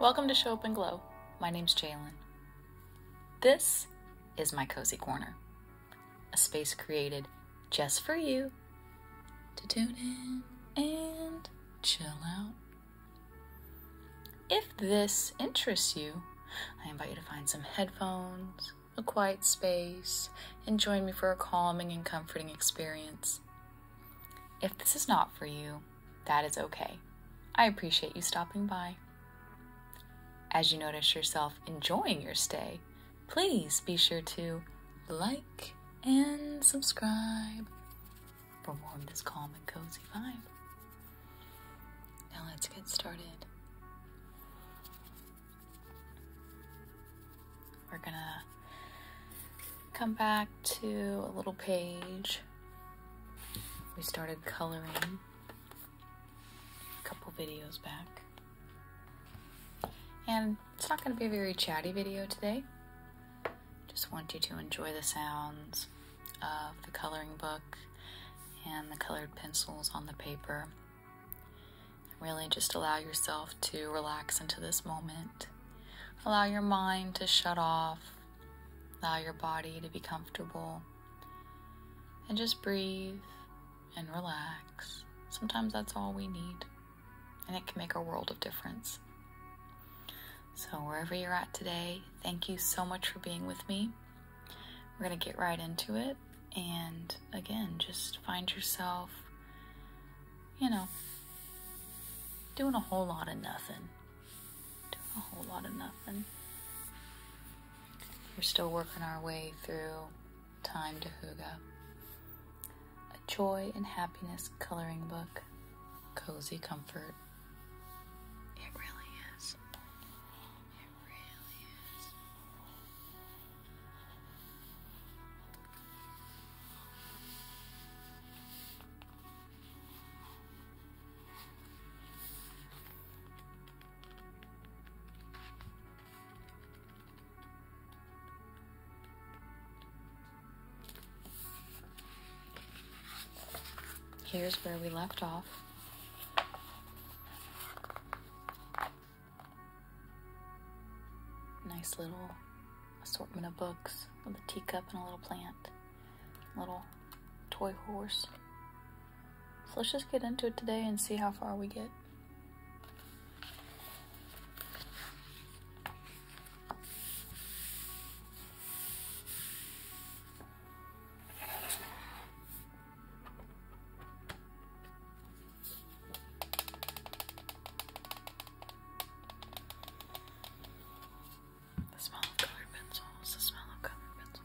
Welcome to Show Up and Glow. My name's Jalen. This is my cozy corner, a space created just for you to tune in and chill out. If this interests you, I invite you to find some headphones, a quiet space, and join me for a calming and comforting experience. If this is not for you, that is okay. I appreciate you stopping by. As you notice yourself enjoying your stay, please be sure to like and subscribe for more this calm and cozy vibe. Now let's get started. We're gonna come back to a little page. We started coloring a couple videos back. And it's not gonna be a very chatty video today. Just want you to enjoy the sounds of the coloring book and the colored pencils on the paper. Really just allow yourself to relax into this moment. Allow your mind to shut off. Allow your body to be comfortable. And just breathe and relax. Sometimes that's all we need, and it can make a world of difference. So, wherever you're at today, thank you so much for being with me. We're going to get right into it. And again, just find yourself, you know, doing a whole lot of nothing. a whole lot of nothing. We're still working our way through Time to Huga, a joy and happiness coloring book, cozy comfort. It really is. Here's where we left off. Nice little assortment of books with a teacup and a little plant. Little toy horse. So let's just get into it today and see how far we get. The smell of colored pencils, the smell of colored pencils.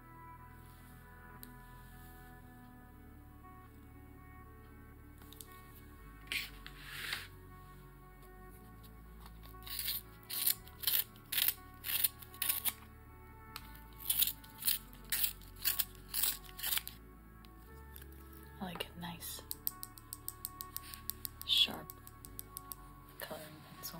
I like a nice sharp coloring pencil.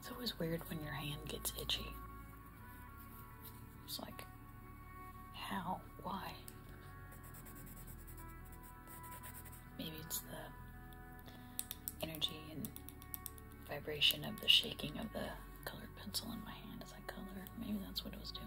It's always weird when your hand gets itchy. It's like, how? Why? Maybe it's the energy and vibration of the shaking of the colored pencil in my hand as I color. Maybe that's what it was doing.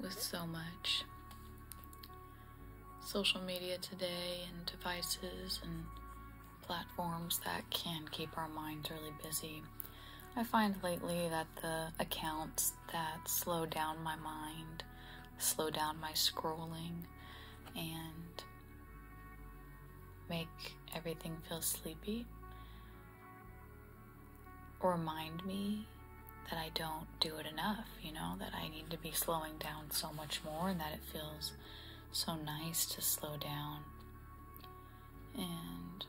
with so much social media today and devices and platforms that can keep our minds really busy. I find lately that the accounts that slow down my mind, slow down my scrolling, and make everything feel sleepy. Remind me that I don't do it enough, you know, that I need to be slowing down so much more and that it feels so nice to slow down. And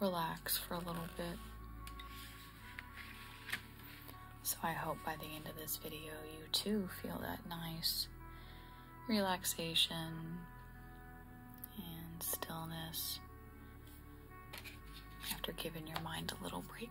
relax for a little bit. So I hope by the end of this video you too feel that nice relaxation and stillness after giving your mind a little break.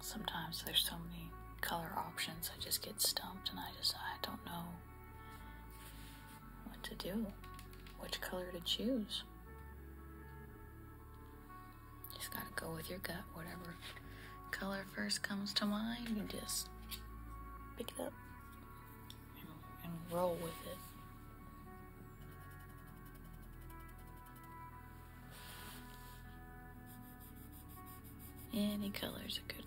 Sometimes there's so many color options, I just get stumped and I just I don't know what to do, which color to choose. Just gotta go with your gut, whatever color first comes to mind, you just pick it up and, and roll with it. Any color is a good color.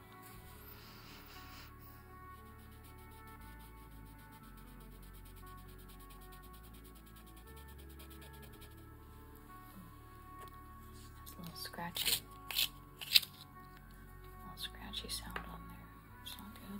There's a little scratchy, a little scratchy sound on there. It's not good.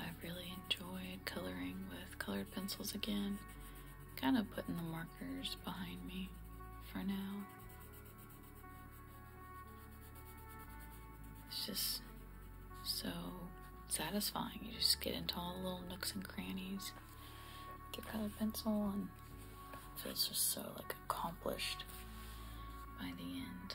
I really enjoyed coloring with colored pencils again, kind of putting the markers behind me for now. It's just so satisfying. You just get into all the little nooks and crannies with your colored pencil and feels just so like accomplished by the end.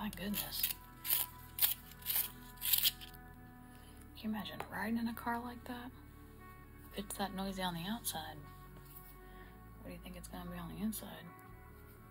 My goodness. Can you imagine riding in a car like that? If it's that noisy on the outside, what do you think it's going to be on the inside?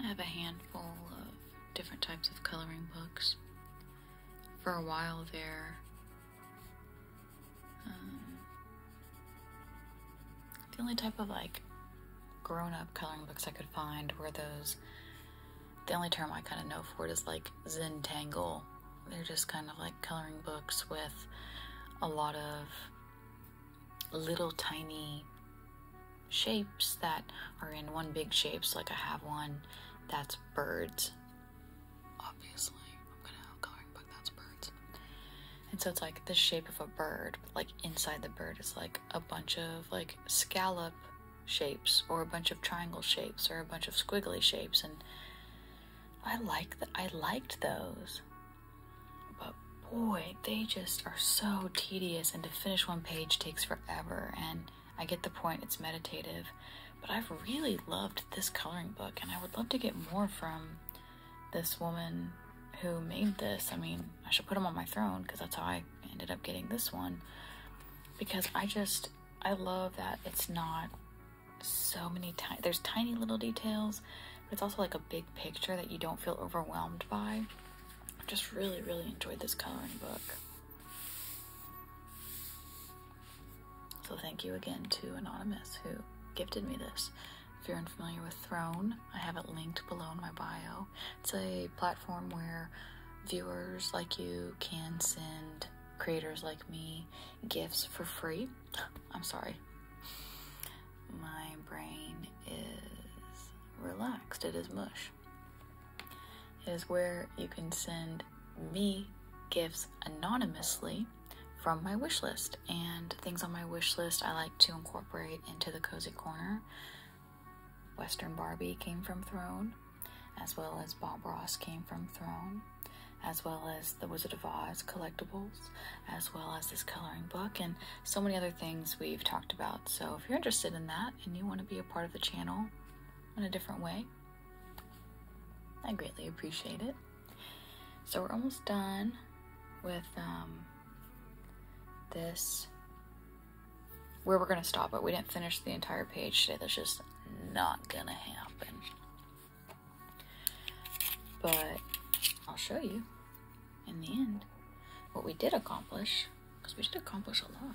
I have a handful of different types of coloring books. For a while there, um, the only type of like grown up coloring books I could find were those. The only term I kind of know for it is like Zentangle. They're just kind of like coloring books with a lot of little tiny shapes that are in one big shape. So, like, I have one that's birds. Obviously, I'm gonna have coloring book that's birds. And so it's like the shape of a bird, like inside the bird is like a bunch of like scallop shapes or a bunch of triangle shapes or a bunch of squiggly shapes and I like that I liked those. But boy, they just are so tedious and to finish one page takes forever and I get the point it's meditative, but I've really loved this coloring book and I would love to get more from this woman who made this. I mean, I should put them on my throne because that's how I ended up getting this one. Because I just, I love that it's not so many tiny, there's tiny little details, but it's also like a big picture that you don't feel overwhelmed by. I just really, really enjoyed this coloring book. So thank you again to Anonymous who gifted me this. If you're unfamiliar with Throne, I have it linked below in my bio. It's a platform where viewers like you can send creators like me gifts for free. I'm sorry. My brain is relaxed, it is mush. It is where you can send me gifts anonymously from my wish list and things on my wish list I like to incorporate into the cozy corner Western Barbie came from Throne, as well as Bob Ross came from Throne, as well as the Wizard of Oz collectibles, as well as this coloring book, and so many other things we've talked about. So if you're interested in that and you want to be a part of the channel in a different way, I greatly appreciate it. So we're almost done with um, this, where we're gonna stop it. We didn't finish the entire page today. That's just not gonna happen. But I'll show you in the end what we did accomplish, because we did accomplish a lot.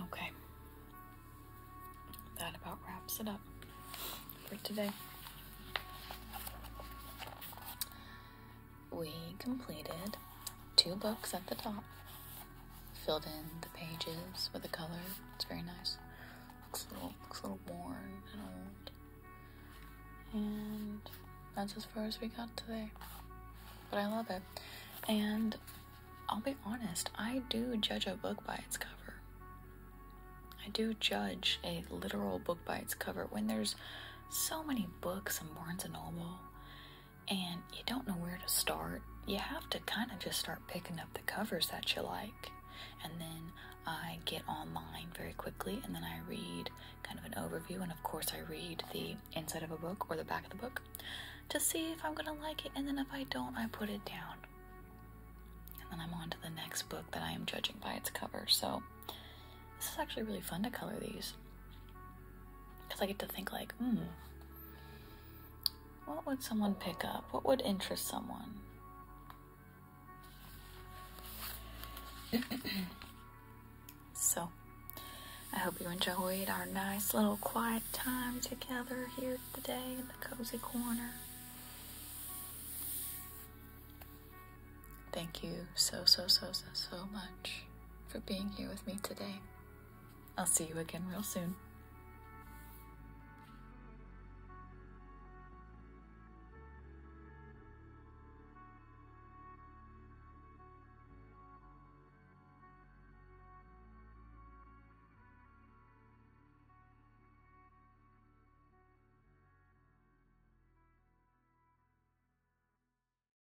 Okay. That about wraps it up for today we completed two books at the top. Filled in the pages with a color. It's very nice. Looks a little, little worn and old. And that's as far as we got today. But I love it. And I'll be honest, I do judge a book by its cover. I do judge a literal book by its cover when there's so many books in Barnes and Noble and you don't know where to start, you have to kind of just start picking up the covers that you like. And then I get online very quickly and then I read kind of an overview. And of course, I read the inside of a book or the back of the book to see if I'm going to like it. And then if I don't, I put it down. And then I'm on to the next book that I am judging by its cover. So this is actually really fun to color these because I get to think like, hmm, what would someone pick up? What would interest someone? so, I hope you enjoyed our nice little quiet time together here today in the cozy corner. Thank you so, so, so, so, so much for being here with me today. I'll see you again real soon.